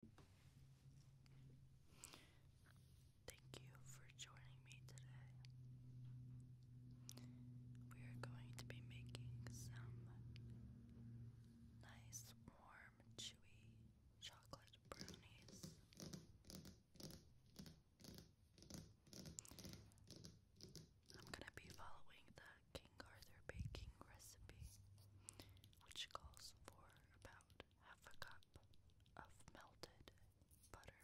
Thank you for joining me today. We are going to be making some nice, warm, chewy chocolate brownies. I'm gonna be following the King Arthur baking recipe, which calls for about half a cup of melted butter,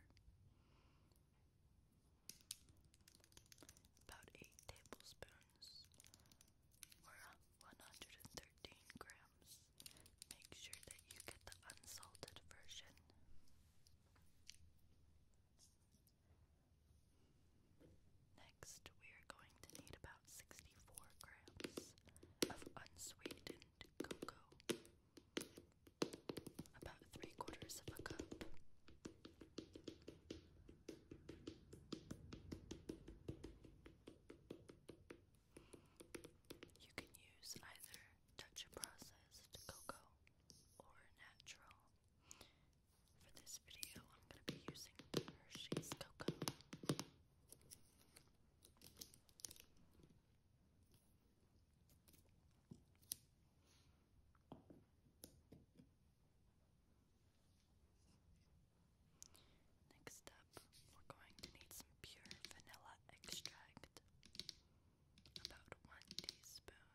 about 8 tablespoons or 113 grams. Make sure that you get the unsalted version. Next, we are going to need about about 64 grams of unsweetened cocoa, about three quarters of a cup. You can use either Dutch processed cocoa or natural. For this video, I'm going to be using Hershey's cocoa. Next up, we're going to need some pure vanilla extract, about one teaspoon.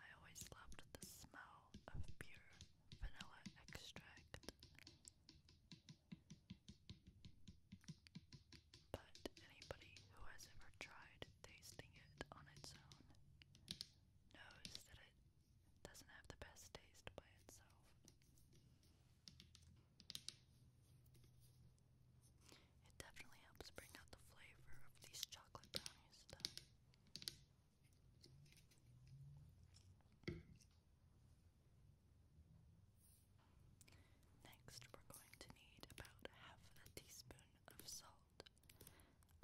I always loved the smell of pure vanilla extract. But anybody who has ever tried tasting it on its own knows that it doesn't have the best taste by itself. It definitely helps bring out the flavor of these chocolate brownies, Next, we're going to need about half a teaspoon of salt.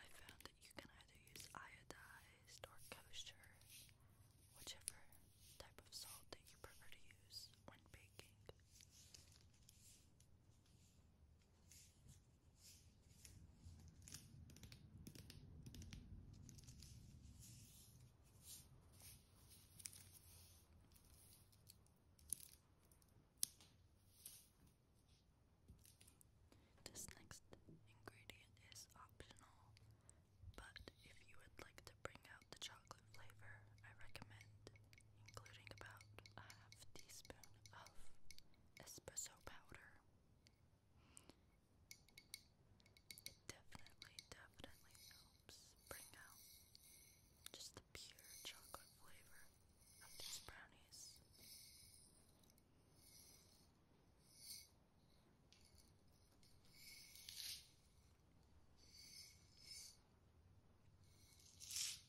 I found that you can either use iodized or kosher, whichever type of salt that you prefer to use when baking. This next ingredient is optional, but if you would like to bring out the chocolate flavor, I recommend including about a half teaspoon of espresso powder. It definitely, definitely helps bring out just the pure chocolate flavor of these brownies.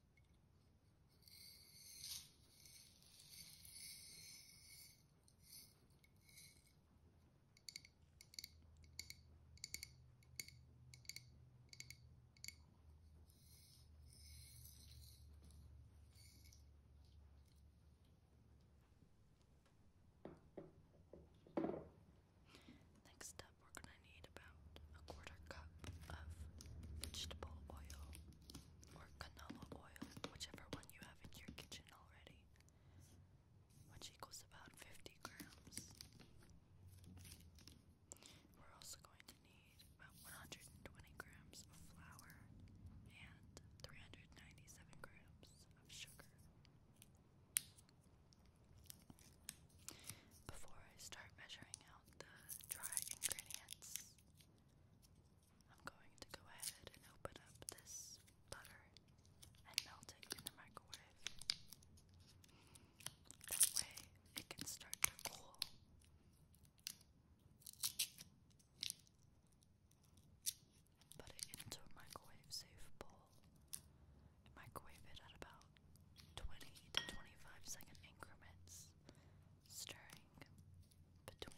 Next up, we're going to need about a quarter cup of vegetable oil or canola oil, whichever one you have in your kitchen already, which equals about 50 grams. We're also going to need about 120 grams of flour and 397 grams of sugar. Before I start measuring out the dry ingredients, I'm going to go ahead and open up this butter and melt it in the microwave. That way it can start to cool. Put it into a microwave safe bowl. Microwave it at about 20 to 25 second increments stirring between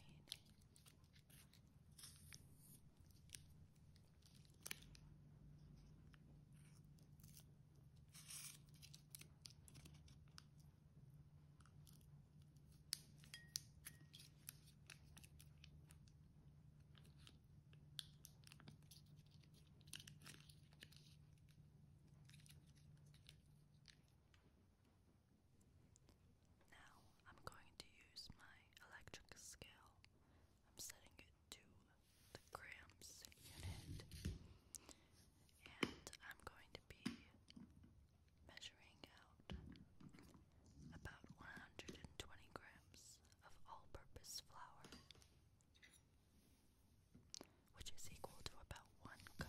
now I'm going to use my electric scale. I'm setting it to the grams unit. And I'm going to be measuring out about 120 grams of all purpose flour which is equal to about one cup.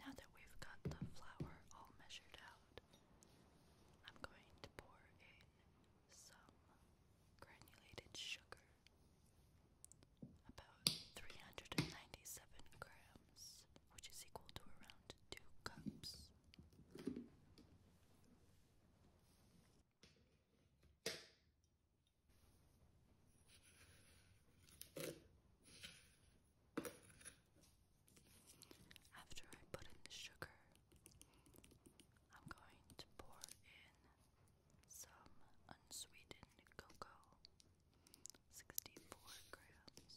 Now that we've got the flour all measured out, I'm going to pour in some granulated sugar, about 397 grams which is equal to around two cups. After I put in the sugar, I'm going to pour in some unsweetened cocoa, 64 grams.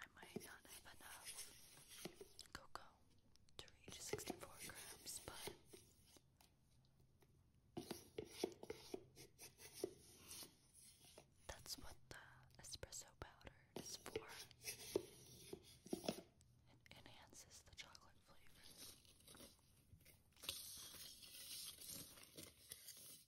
I might not have enough cocoa to reach 64 grams, but that's what the espresso powder is for. It enhances the chocolate flavor.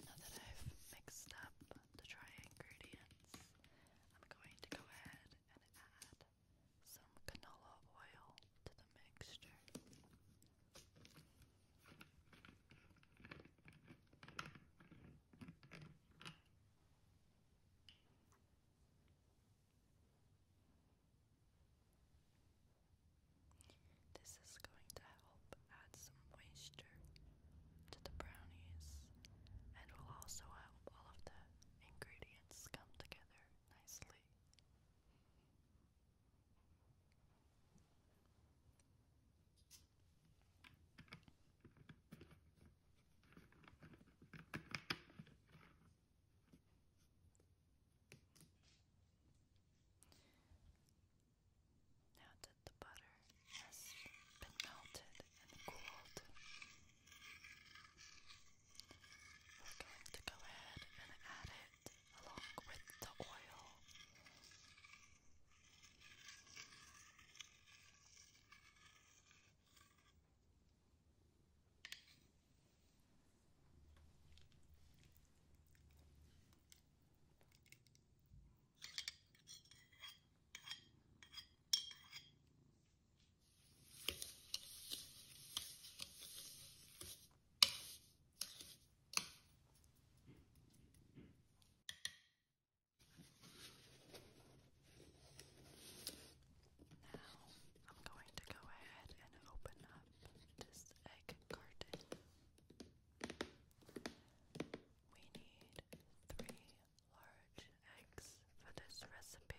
Now that I've mixed up the dry ingredients, I'm going to go ahead and add some canola oil to the mixture. This is going to help add some moisture to the brownies and will also help all of the ingredients come together nicely. Now that the butter has been melted and cooled, we to go ahead and add it along with the oil. Now I'm going to go ahead and open up this egg carton. We need three large eggs for this recipe.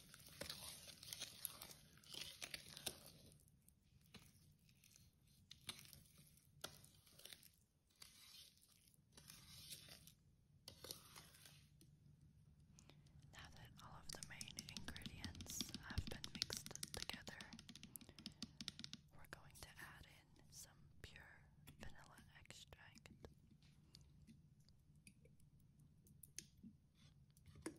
Now that all of the main ingredients have been mixed together, we're going to add in some pure vanilla extract and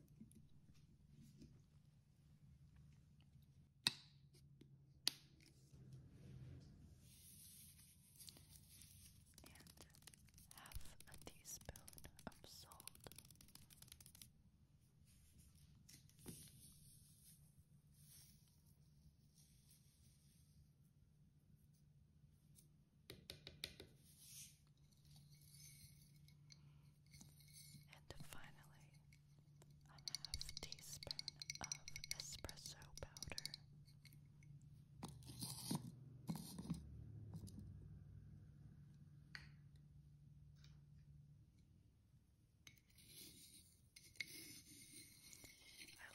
half a teaspoon of salt. And finally, a half teaspoon of espresso powder. I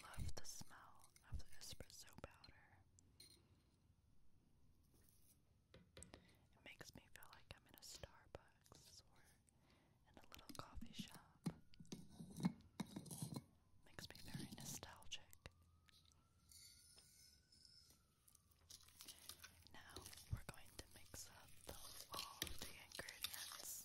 love the smell of the espresso powder. It makes me feel like I'm in a Starbucks or in a little coffee shop. Makes me very nostalgic. Now we're going to mix up all the ingredients.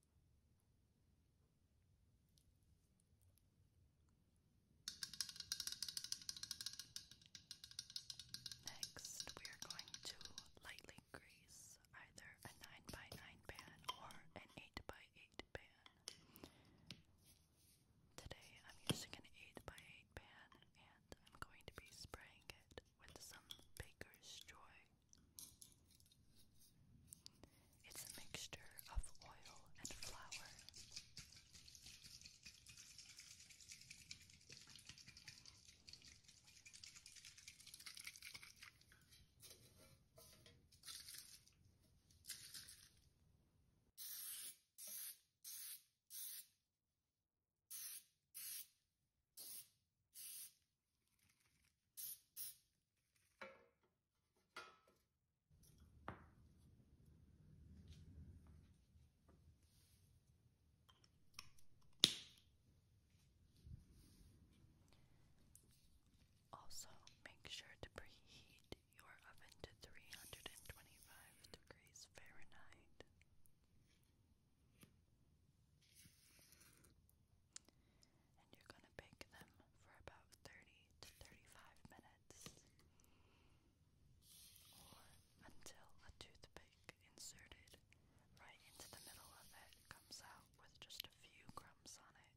Next, we are going to lightly grease either a 9x9 pan or an 8x8 pan. Today, I'm using an 8x8 pan and I'm going to be spraying it with some Baker's Joy it's a mixture of oil and flour. Also, make sure to preheat your oven to 325 degrees Fahrenheit and you're going to bake them for about 30 to 35 minutes until a toothpick inserted right into the middle of it comes out with just a few crumbs on it.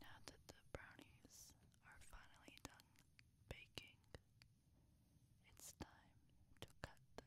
Now that the brownies are finally done baking, it's time to cut them.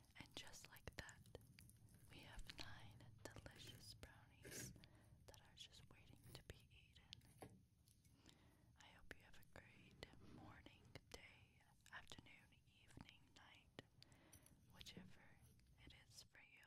And just like that, we have nine delicious brownies that are just waiting to be eaten. I hope you have a great morning, day, afternoon, evening, night, whichever it is for you.